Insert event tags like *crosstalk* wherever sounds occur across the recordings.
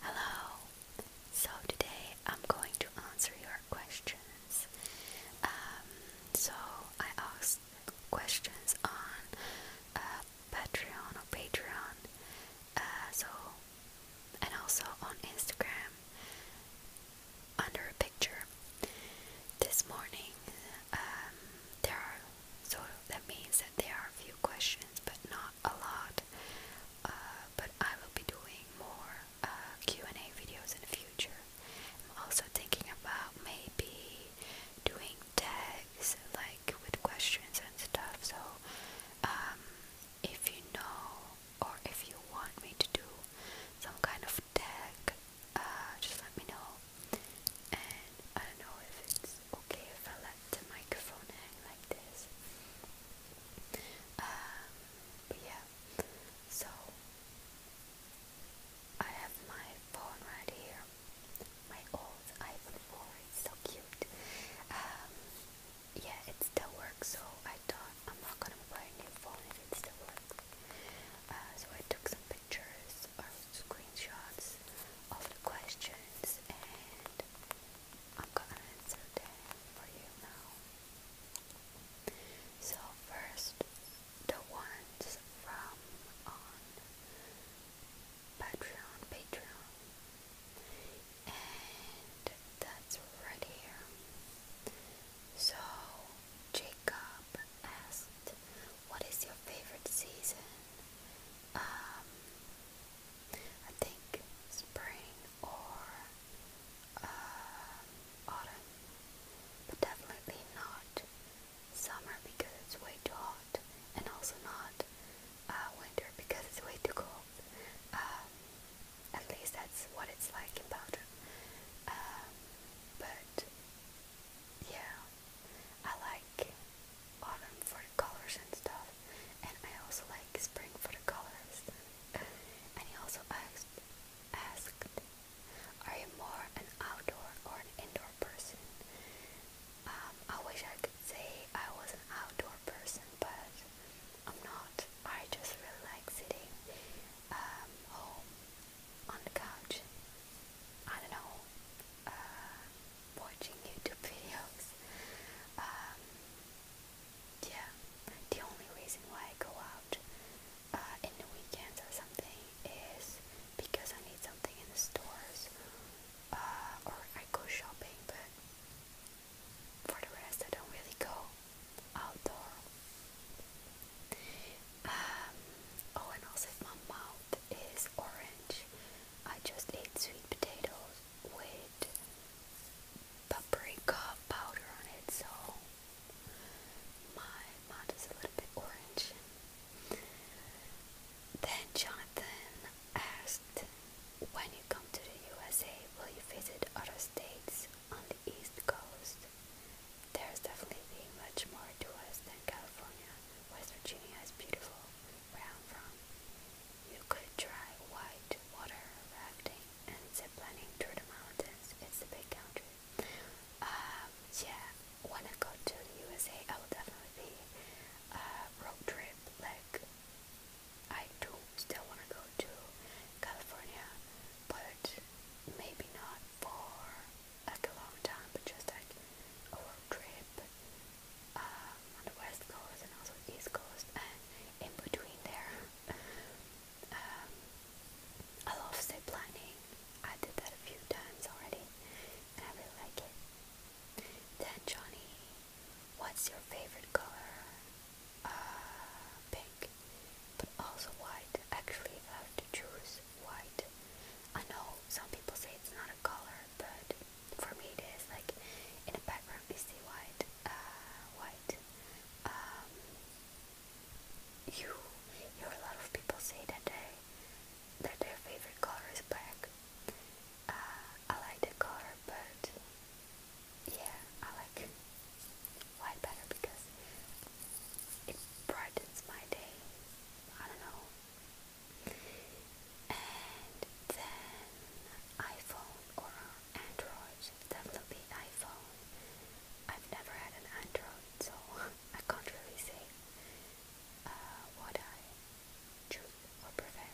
Hello. So today I'm going to answer your questions. Um, so I asked questions on uh, Patreon or Patreon. Uh, so and also on Instagram under a picture. This morning um, there are so that means that there are a few questions, but not a lot. Uh, but I will be doing more uh, Q&A videos in the future. I'm also thinking about maybe doing tags like with questions and stuff. So um, if you know or if you want me to do some kind of tag, uh, just let me know. I don't know if it's okay if I let the microphone hang like this. Um, but yeah, so I have my phone right here, my old iPhone 4, it's so cute. Um, yeah, it still works, so I thought I'm not gonna buy a new phone if it still works. Uh, so I took some pictures or screenshots of the questions and I'm gonna answer them for you now. So first the ones from um, Patreon Patreon and that's right here. So Jacob asked what is your favorite season? Um, I think spring or uh, autumn, but definitely not summer because it's way too hot, and also not uh, winter because it's way too cold. Um, at least that's what it's like in Belgium. but yeah, I like autumn for the colors and stuff, and I also like spring for the colors. and he also asked, asked, are you more an outdoor or an indoor person? Um, I wish I could say I was an outdoor person, but I'm not. I just really like sitting um, home on the couch, I don't know, uh, watching YouTube videos. Um, yeah, the only reason why I go out uh, in the weekends or something is because I need something in the stores uh, or I go shopping, but for the rest, I don't really go outdoor. Um, oh, and also my mouth is orange, I just ate sweet potatoes with paprika powder on it, so my mouth is a little bit orange. Then Jonathan asked, when you come to the USA, will you visit other states on the East Coast? There's definitely much more to us than California. West Virginia is beautiful, where I'm from. You could try white water rafting and zip lining through the mountains. It's a big country. Um, yeah, when I go to the USA, I will definitely be a road trip. Like, I do still want to go to California, but maybe not for like a long time, but just like a road trip um, on the west coast and also east coast, and in between there, um, I love zip lining. I did that a few times already, and I really like it. Then Johnny, what's your favorite color? Uh, pink, but also white. Actually, I have to choose, white. I know some people say it's not a color, but for me it is. Like in the background, you see white, uh, white. Um, you a lot of people say that they that their favorite color is black. Uh, I like the color, but yeah, I like white better because it brightens my day. I don't know. And then iPhone or Android, definitely iPhone. I've never had an Android, so *laughs* I can't really say uh, what I choose or prefer.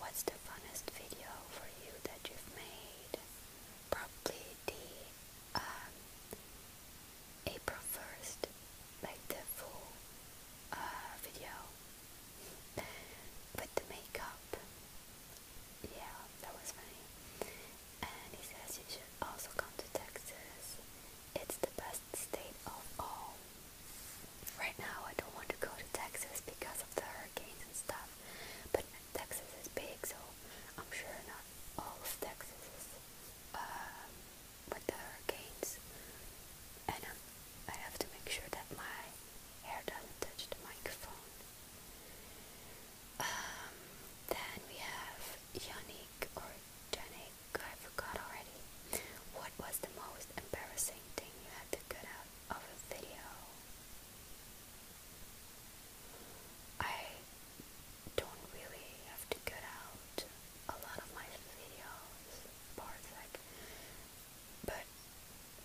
What's the funnest video for you that you've made? Probably the um, April 1st, like the full uh, video with the makeup. Yeah, that was funny. And he says you should also come to Texas. It's the best state of all. Right now, I don't want to go to Texas because of the hurricanes and stuff, but Texas is big, so I'm sure not all of Texas uh, with the hurricanes, and um, I have to make sure that my hair doesn't touch the microphone. Um, then we have Yannick or Yannick, I forgot already. What was the most embarrassing thing you had to cut out of a video? I don't really have to cut out a lot of my videos parts like but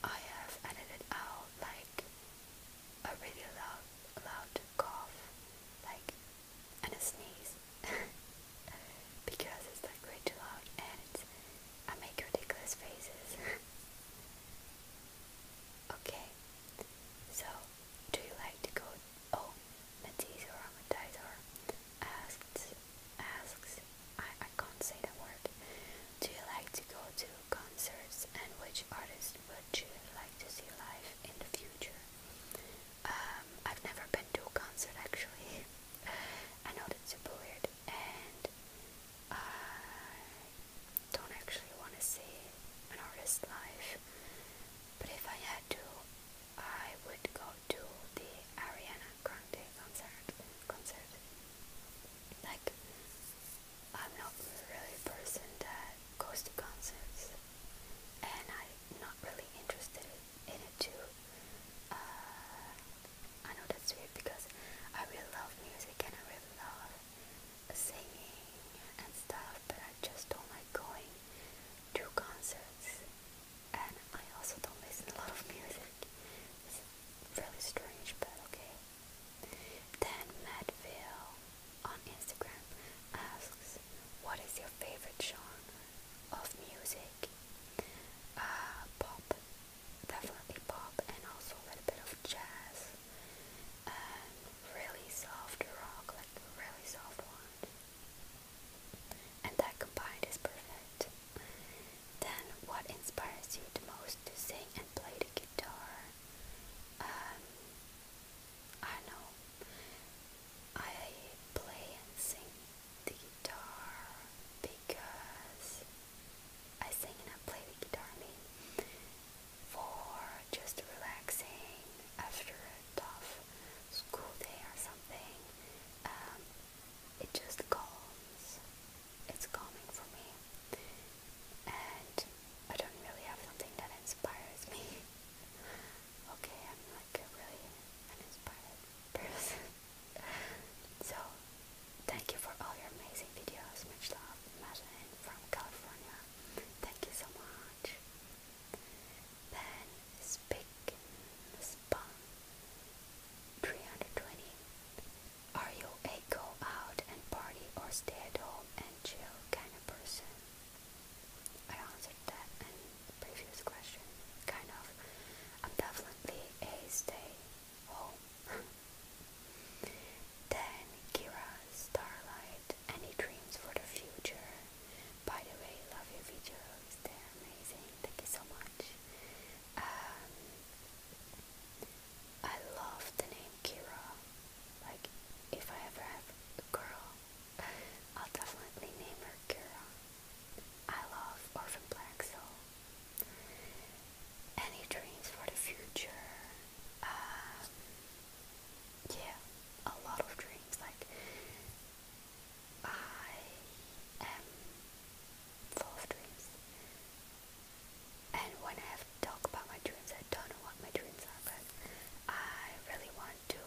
I have edited out like a really loud loud cough like and a sneeze *laughs* because it's like way too loud and it's, I make ridiculous faces *laughs* okay so do you like to go Oh, Matisse or asks, asks, I, I can't say the word. Do you like to go to concerts and which artist would you like to see live in the future? Um, I've never been to a concert actually. *laughs* I know that's super weird and I don't actually want to see an artist live. But if I had to, I would go to the Ariana Grande concert. Concert. Like, I'm not really a person that goes to concerts, and I'm not really interested in it too. Uh, I know that's weird because I really love music and I really love singing and stuff, but I just don't like going to concerts. And I also don't listen to a lot of music. It's really strange, but okay. Then Madville on Instagram asks, "What is your favorite genre of music?" Uh, pop, definitely pop, and also a little bit of jazz really soft rock, like really soft one. And that combined is perfect. Then, what inspires you the most to sing and play the guitar? Um, I know. I play and sing the guitar because I sing and I play the guitar for just relaxing after a tough school day or something. Um, it just calms. It's calming for me. And I don't really have something that inspires me. *laughs* okay, I'm like really uninspired *laughs* so, thank you for all your amazing videos. Much love, and from California. Thank you so much. Ben Spick Spun 320. Are you a go out and party or stay at home and chill kind of person? I answered that in the previous question. Kind of. I'm definitely a stay home *laughs* Then Kira, Starlight, Any Dreams for the Future. By the way, love your videos, they're amazing, thank you so much. Um, I love the name Kira. Like, if I ever have a girl, *laughs* I'll definitely name her Kira. I love Orphan Black Soul. Any dreams for the future? Um, yeah, a lot of dreams. Like, I am full of dreams. And when I have to talk about my dreams, I don't know what my dreams are, but I really want to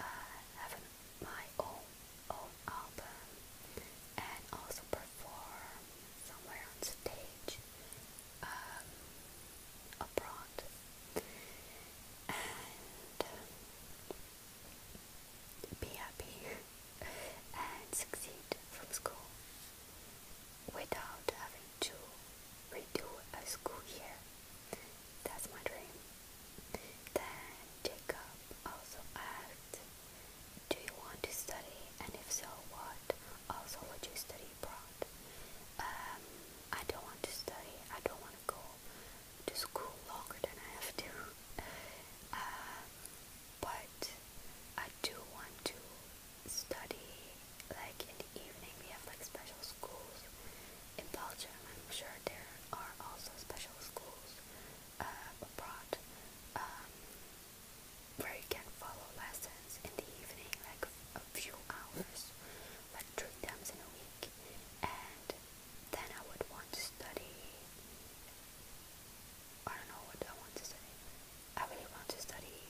uh, have my own, own album and also perform somewhere on stage um, abroad, and um, be happy and succeed from school without having to redo a school year. That's my dream. Then Jacob also asked, Do you want to study? And if so, what? Also, would you study abroad. Um, I don't want to study. I don't want to go to school longer than I have to. *laughs* Um, but I do want to study like in the evening. We have like special schools in Belgium. I'm sure there are also special schools uh, abroad. Um, where you can follow lessons in the evening, like a few hours, like three times in a week, and then I would want to study. I don't know what I want to study. I really want to study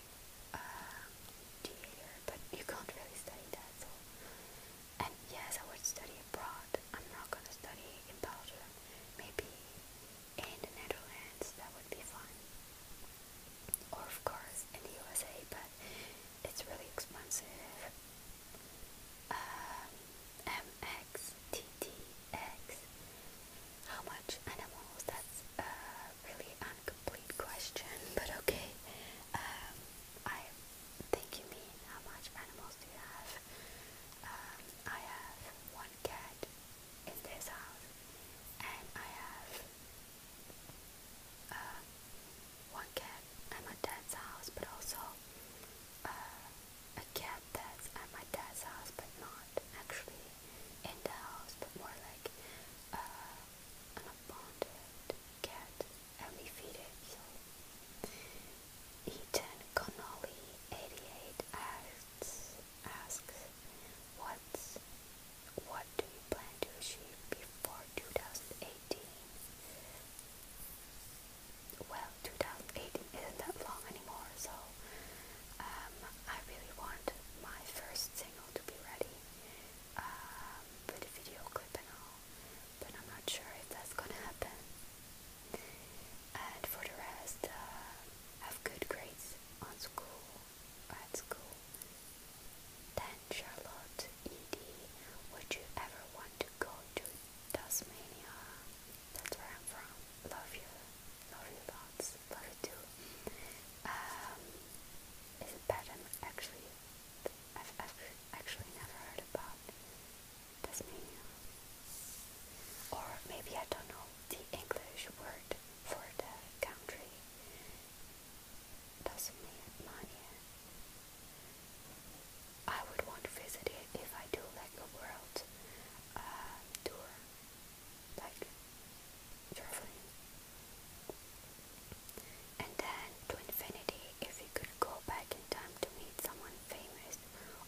theater, uh, but you can't really study that. So, and yes, I would study abroad. I'm not gonna study in Belgium. Maybe in the Netherlands, that would be fun. Or of course in the USA, but it's really expensive. Um, MXTTX. How much animals? That's a really incomplete question, but okay. Um, I think you mean how much animals do you have? Um, I have one cat, is this house, and I have uh, one cat at my dad's house, but also uh, a cat that's at my dad's house, but not actually in the house, but more like uh, an abandoned cat, and we feed it. So. Ethan Connolly 88 asks, asks, What's, what do you plan to achieve before 2018? Well, 2018 isn't that long anymore, so um, I really want my first single to be ready um, with a video clip and all, but I'm not sure if that's gonna happen. And for the rest, uh, have good grades on school, at school, then Charlotte, Edie, would you ever want to go to Tasmania? That's where I'm from. Love you. Love you lots. Love you too. Um, is it better? Actually, I've, i actually never heard about Tasmania. Or maybe I don't know the English word for the country, Tasmania. I would want to visit it if I do like a world uh, tour, like traveling. And then to infinity, if you could go back in time to meet someone famous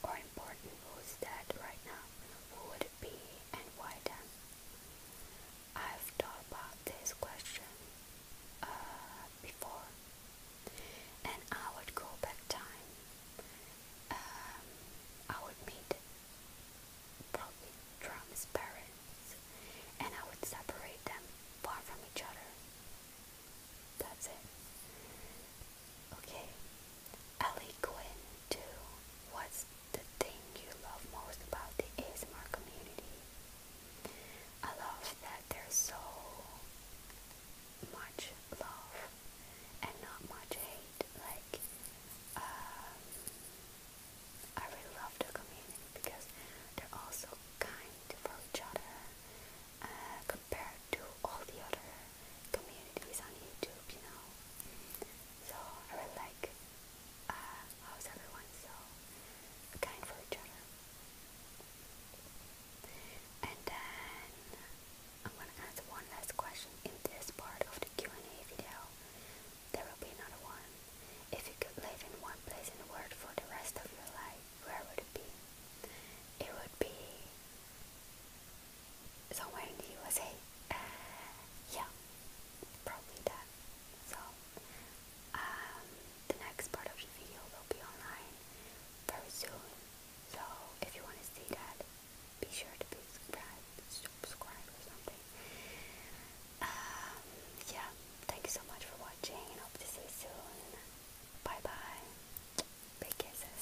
or important who's dead right now, who would B and why them? I've thought about this question uh, before and I would go back time. Um, I would meet probably Drum's parents and I would separate them far from each other. That's it. Okay, Ali Quinn too. What's the thing you love most about the ASMR community? I love that there's so much love and not much hate. Like, um, I really love the community because they're all so kind for each other uh, compared to all the other communities on YouTube, you know. So I really like uh, how's everyone so kind for each other. And then I'm gonna answer one last question in this part of the Q&A video. There will be another one. If you could live in one place in the world for the rest of your life, where would it be? It would be somewhere in the USA. Uh, yeah, probably that. So, um, the next part of the video will be online very soon. So, if you want to see that, be sure to be subscribed, subscribe or something. Um, yeah, thank you so much for watching hope to see you soon. Bye bye. Big kisses.